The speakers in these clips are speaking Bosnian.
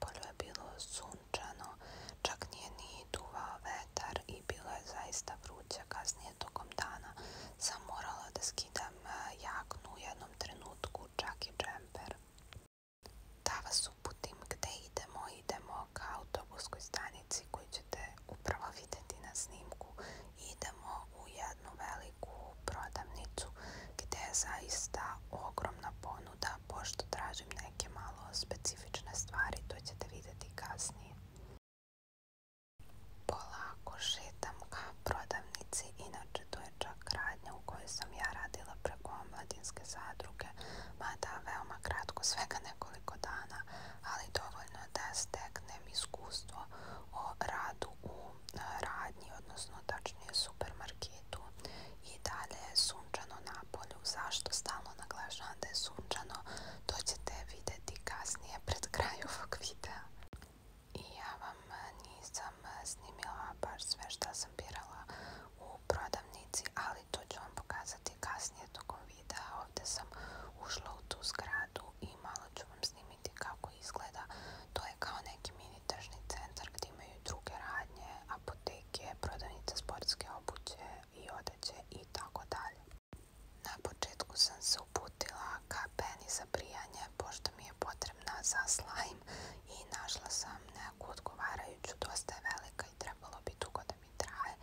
polju je bilo sunčano, čak nije ni duvao vetar i bilo je zaista vruće kasnije tokom dana. Sam morala da skidam e, jaknu u jednom trenutku, čak i džemper. Da vas uputim gde idemo, idemo ka autobuskoj stanici koju ćete upravo videti na snimku. Idemo u jednu veliku prodavnicu gde je zaista ogromna polja ponuda pošto tražim neke malo specifične stvari, to ćete videti kasnije. Polako šetam ka prodavnici, inače to je čak radnja u kojoj sam ja radila preko omladinske zadruge, mada veoma kratko, svega nekoliko dana, ali dovoljno da steknem iskustvo o radu u e, radnji, odnosno tačnije supermarketu svijetu i dalje je sunčano na polju. Zašto stalno naglašavam da je sunčano? To ćete vidjeti kasnije pred kraj ovog videa. I ja vam nisam snimila baš sve što sam birala u prodavnici, ali to ću vam pokazati kasnije tokom videa. Ovdje sam ušla u tu zgradu i malo ću vam snimiti kako kako izgleda. To je kao neki mini tržni centar gdje imaju druge radnje, apoteke, prodavnice sportske obuće i odeće i tako dalje. Na početku sam se uputila ka peni za brijanje pošto mi je potrebna za slime i našla sam neku odgovarajuću, dosta je velika i trebalo bi dugo da mi traje.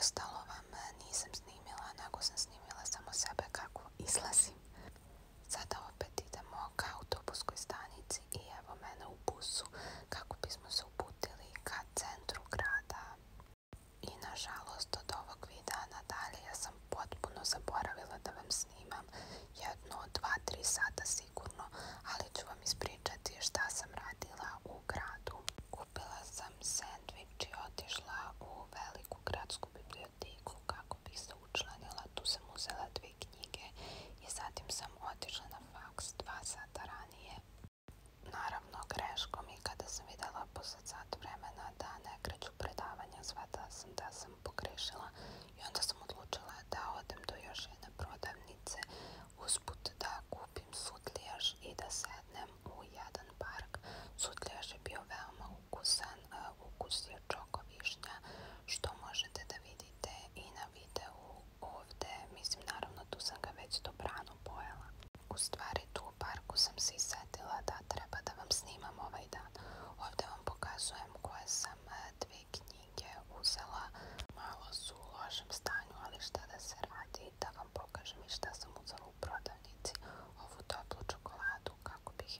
Ostalo vam nisam snimila, nego sam snimila samo sebe kako izlazim. Sada opet idemo ka autobuskoj stanici i evo mene u busu kako bismo se uputili ka centru grada. I nažalost od ovog videa nadalje ja sam potpuno zaboravila da vam snimam jedno, dva, tri sata sigurno, ali ću vam ispričati šta sam radila u gradu. Kupila sam sandvič i otišla u veliku gradsku biblioteku biblioteku kako bih se učlanila. Tu sam uzela dve knjige i zatim sam otišla na faks dva sata ranije. Naravno, greškom i kada sam videla posle sat vremena da ne kreću predavanja, zvata sam da sam pogrešila i onda sam odlučila da odem do još jedne prodavnice usput da kupim sutlijaš i da sednem u jedan park. Sutlijaš je bio veoma ukusan dan ukusio čoko višnja, što možete da vidite i na videu ovde. Mislim, naravno, tu sam ga već dobrano pojela. U stvari, tu u parku sam se isetila da treba da vam snimam ovaj dan. Ovde vam pokazujem koje sam dve knjige uzela. Malo su u lošem stanju, ali šta da se radi, da vam pokažem i šta sam uzela u prodavnici. Ovu toplu čokoladu, kako bih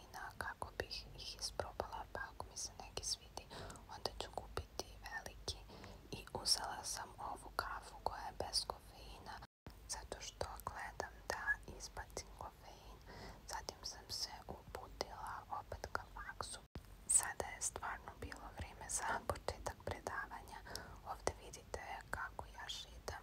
vina kako bih ih isprobala pa ako mi se neki svidi onda ću kupiti veliki i uzela sam ovu kafu koja je bez kofeina zato što gledam da izbacim kofein zatim sam se uputila opet ka sada je stvarno bilo vrijeme za početak predavanja ovdje vidite kako ja šitam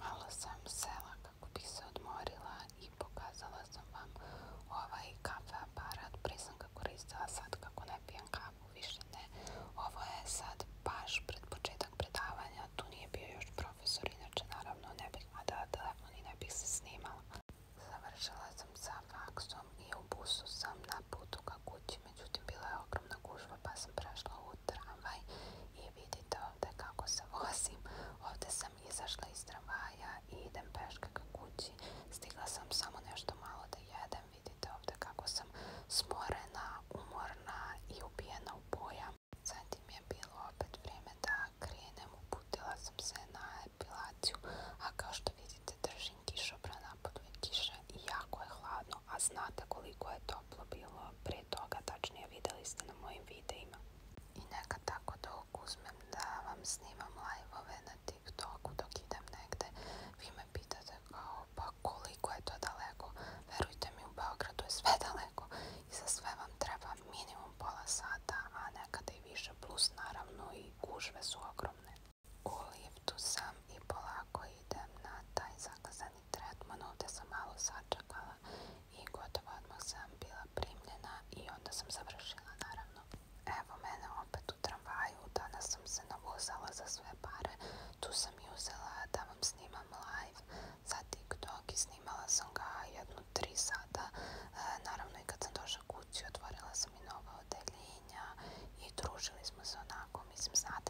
Malo sam sela kako bih se odmorila i pokazala sam vam ovaj kafe aparat. Prije sam ga koristila sad kako ne pijem kafu, više ne. Ovo je sad baš pred početak predavanja. Tu nije bio još profesor, inače naravno ne bih vadala telefon i ne bih se snimala. Završila sam sa faksom i u busu sam na putu ka kući. Međutim, bila je ogromna gužba pa sam prešla u tramvaj vidite ovdje kako se vozim. Ovdje sam izašla iz tramvaja idem peške kući. Stigla sam samo nešto malo da jedem. Vidite ovdje kako sam smorena, umorna i ubijena u bojam. Zatim je bilo opet vrijeme da krenem. Uputila sam se na epilaciju, a kao što vidite držim kišobra napod kiše i jako je hladno, a znate koliko je toplo bilo prije toga, tačnije videli ste na mojim videima. I neka tako dok uzmem da vam snimam live na TikToku dok idem negde, vi me pitate kao pa koliko je to daleko. Verujte mi, u Beogradu je sve daleko i za sve vam treba minimum pola sata, a nekada i više plus naravno i gužve su ogromne. U sam i polako idem na taj zaklazan inicijalni tretman, ovdje sam malo sačekala i gotovo odmah sam bila primljena i onda sam završila naravno. Evo mene opet u tramvaju, danas sam se navozala za sve pare, tu sam i uzela da snimam live za TikTok i snimala sam ga jednu tri sata. E, naravno i kad sam došla kući otvorila sam i nova odeljenja i družili smo se onako, mislim znate